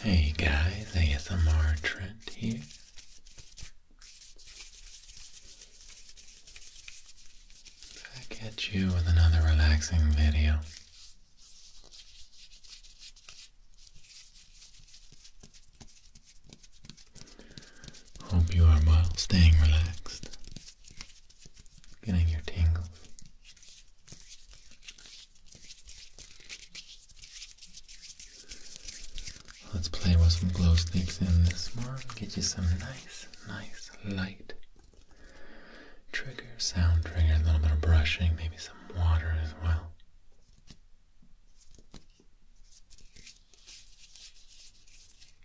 Hey guys, ASMR Trent here. Back at you with another relaxing video. Hope you are well, staying relaxed getting your tingles. Let's play with some glow sticks in this more, get you some nice, nice light trigger, sound trigger, a little bit of brushing, maybe some water as well.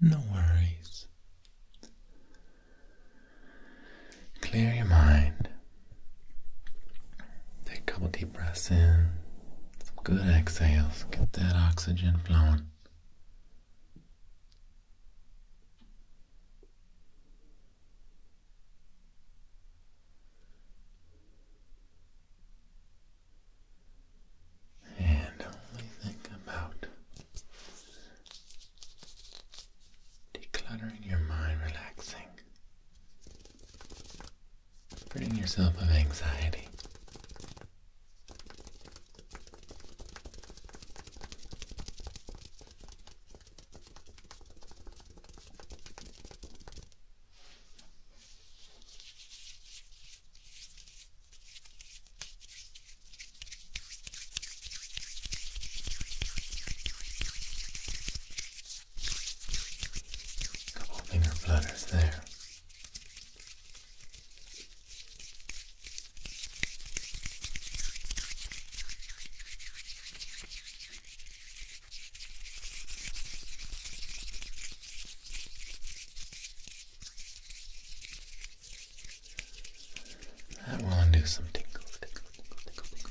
No worries. Clear your mind. Take a couple deep breaths in, some good exhales, get that oxygen flowing and only think about decluttering your mind, relaxing, freeing yourself of anxiety. Couple finger flutters there. That will undo some tingle, tingle, tingle, tingle, tingle, tingle.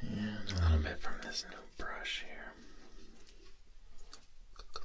And a little bit from this new brush here. Good.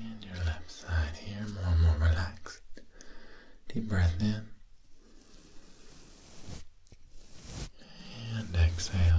And your left side here, more and more relaxed. Deep breath in. And exhale.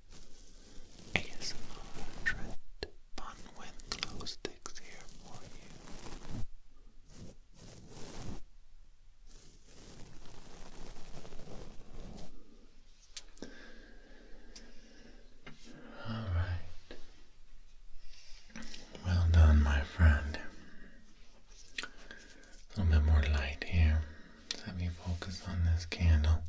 ASMR tread fun Winslow sticks here for you. All right. Well done, my friend. A little bit more light here. Let me focus on this candle.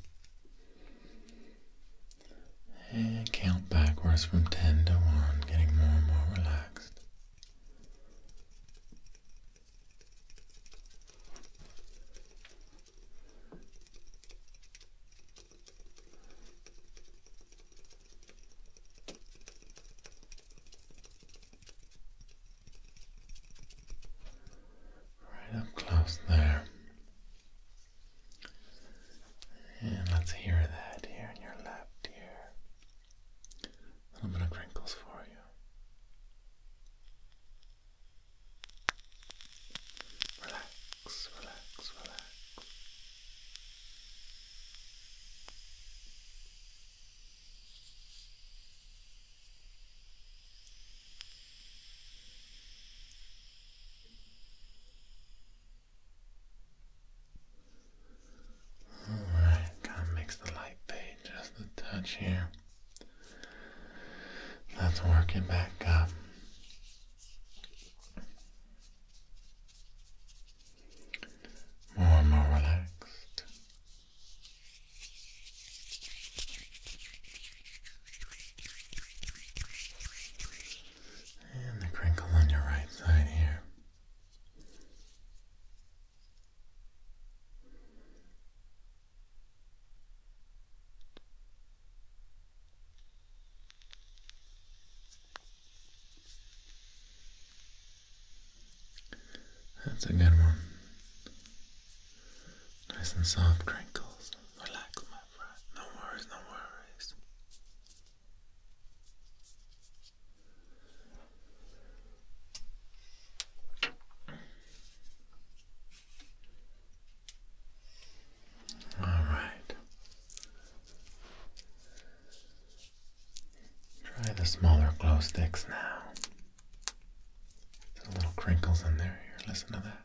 And eh, count backwards from 10 to 1, getting more and more relaxed. Right up close there. And let's hear that here in your lap, dear. A little bit of crinkles for you. Relax, relax, relax. Alright, gotta mix the light fade just a touch here. Let's work it back up. More and more relaxed. And the crinkle on your right side here. That's a good one. Nice and soft crinkles. Relax, my friend. No worries, no worries. All right. Try the smaller glow sticks now. There's a little crinkles in there. Here, listen to that.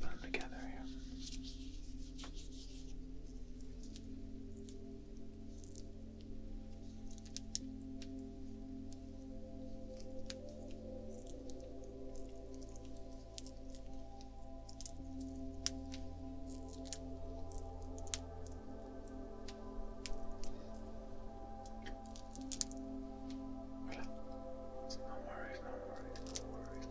Put them together here. All Voilà. So no worries, no worries, no worries, no worries.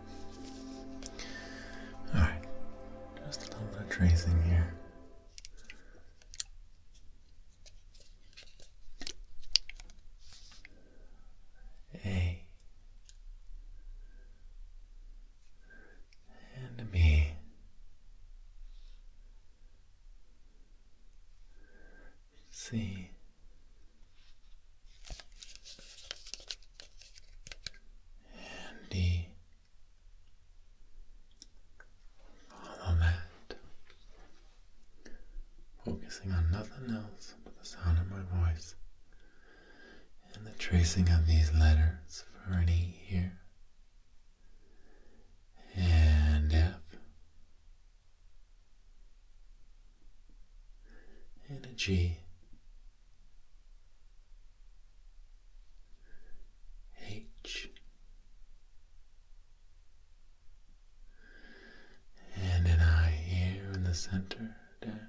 Alright, just a little bit of tracing here. A and B C and Follow that. Focusing on nothing else but the sound of my voice and the tracing of these letters for an here and F. And a G H and an I here in the center down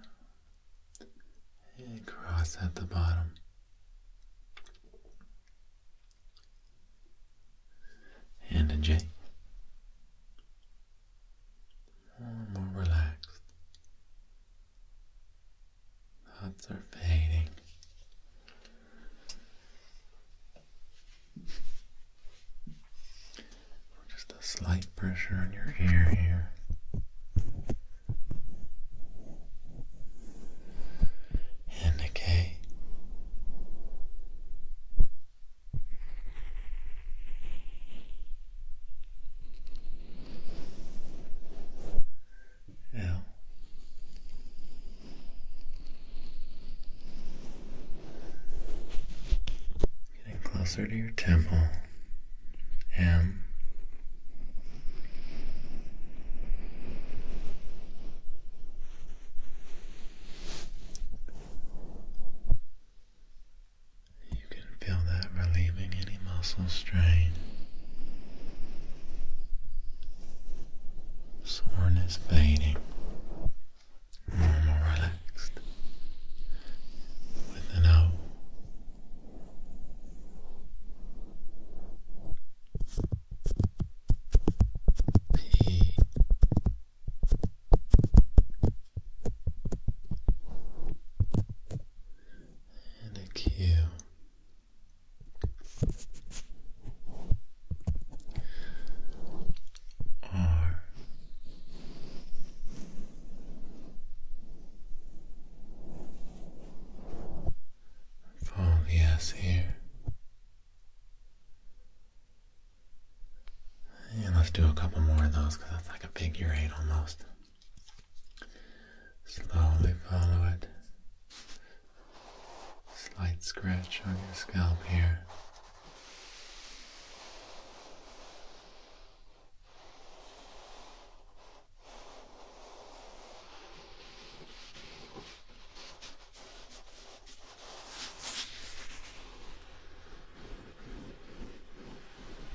and cross at the bottom. And a J. More relaxed. Thoughts are fading. Just a slight pressure on your ear here. And okay. Now, getting closer to your temple, M. You can feel that relieving any muscle strain. Soreness fading. More, more relaxed. With an O. P and exhale. R the S here. And let's do a couple more of those because that's like a big eight almost. Slowly follow it. Slight scratch on your scalp here.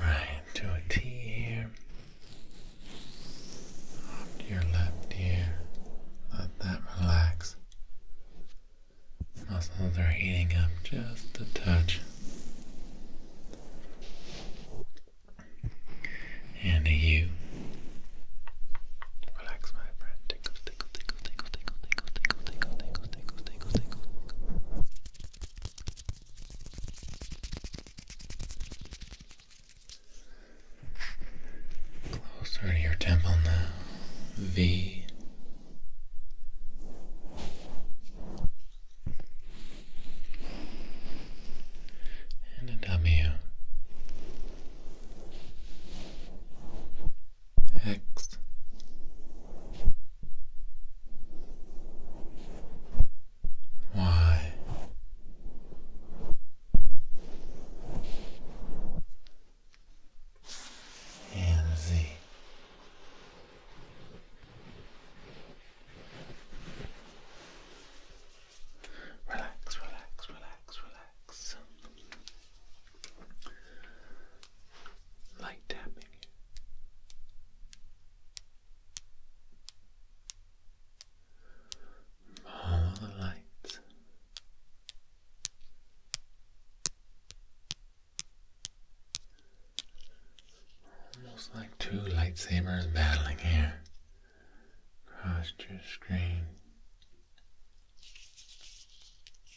Alright, do a T here. your left ear. Let that relax. Muscles are heating up just a touch. And a U. Relax, my friend. tickle, tickle, tickle, tickle, tickle, tickle, tickle, tickle, tickle, tickle, tickle, tickle. Closer to your temple now. V. And a W. X. Why? And Z. Relax, relax, relax, relax. Light tapping All the lights. Almost like two lightsabers battling here across your screen.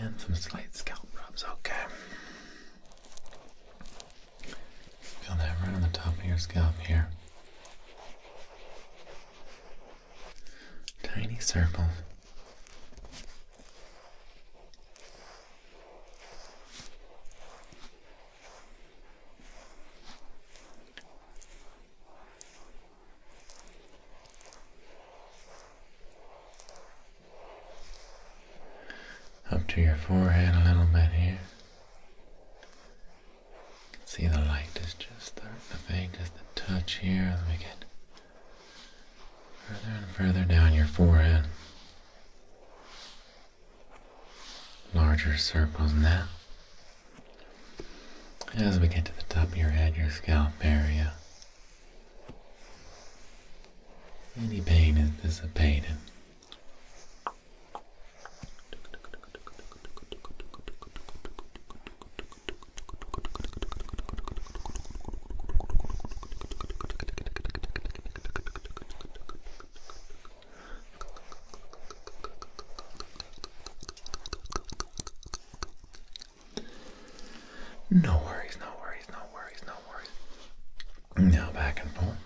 And some slight scalp rubs, okay. Feel that right on the top of your scalp here. Tiny circle up to your forehead a little bit here. See the light is just starting to fade, just the touch here as we get Further and further down your forehead. Larger circles now. As we get to the top of your head, your scalp area. Any pain is a dissipated. No worries, no worries, no worries, no worries. Now back and forth.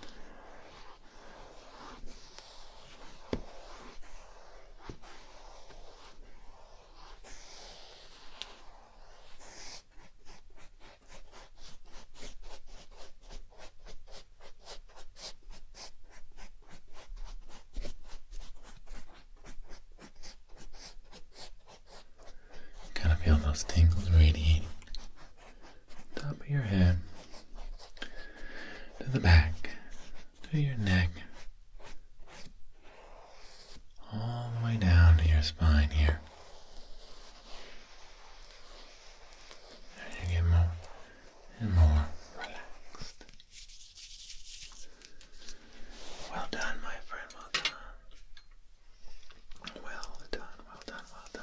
Kind of feel those tingles radiating top of your head to the back to your neck all the way down to your spine here. you get more and more relaxed. Well done, my friend, well done. Well done, well done, well done.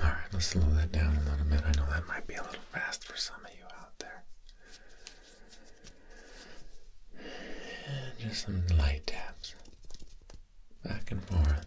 All right, let's slow that down a little bit. I know that might be a little fast for some of you out there. And just some light taps back and forth.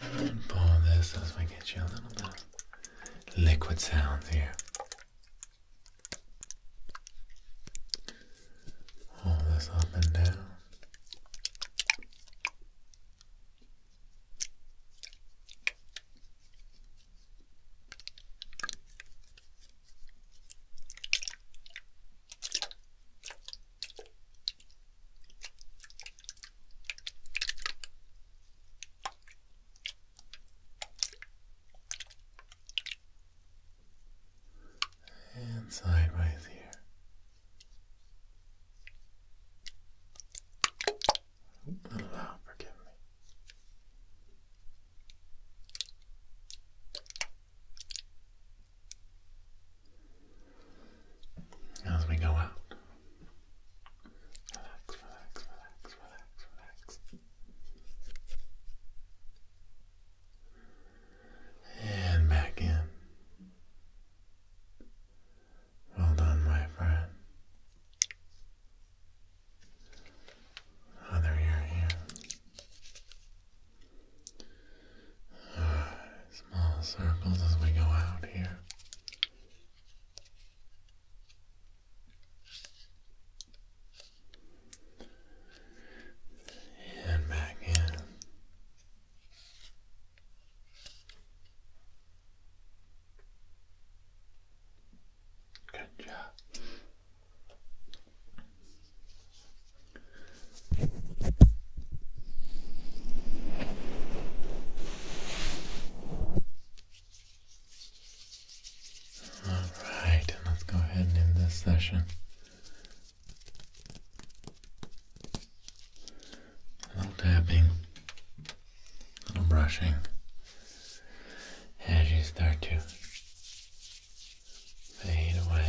And then this as we get you a little bit liquid sounds here. All this up and down and sideways here. A little loud, forgive me. As we go out, relax, relax, relax, relax, relax. And back in. Well done, my friend. Other ear here. small circles as we go out here. And back in. Good job. All right, let's go ahead and this session. A little tapping, a little brushing as you start to fade away.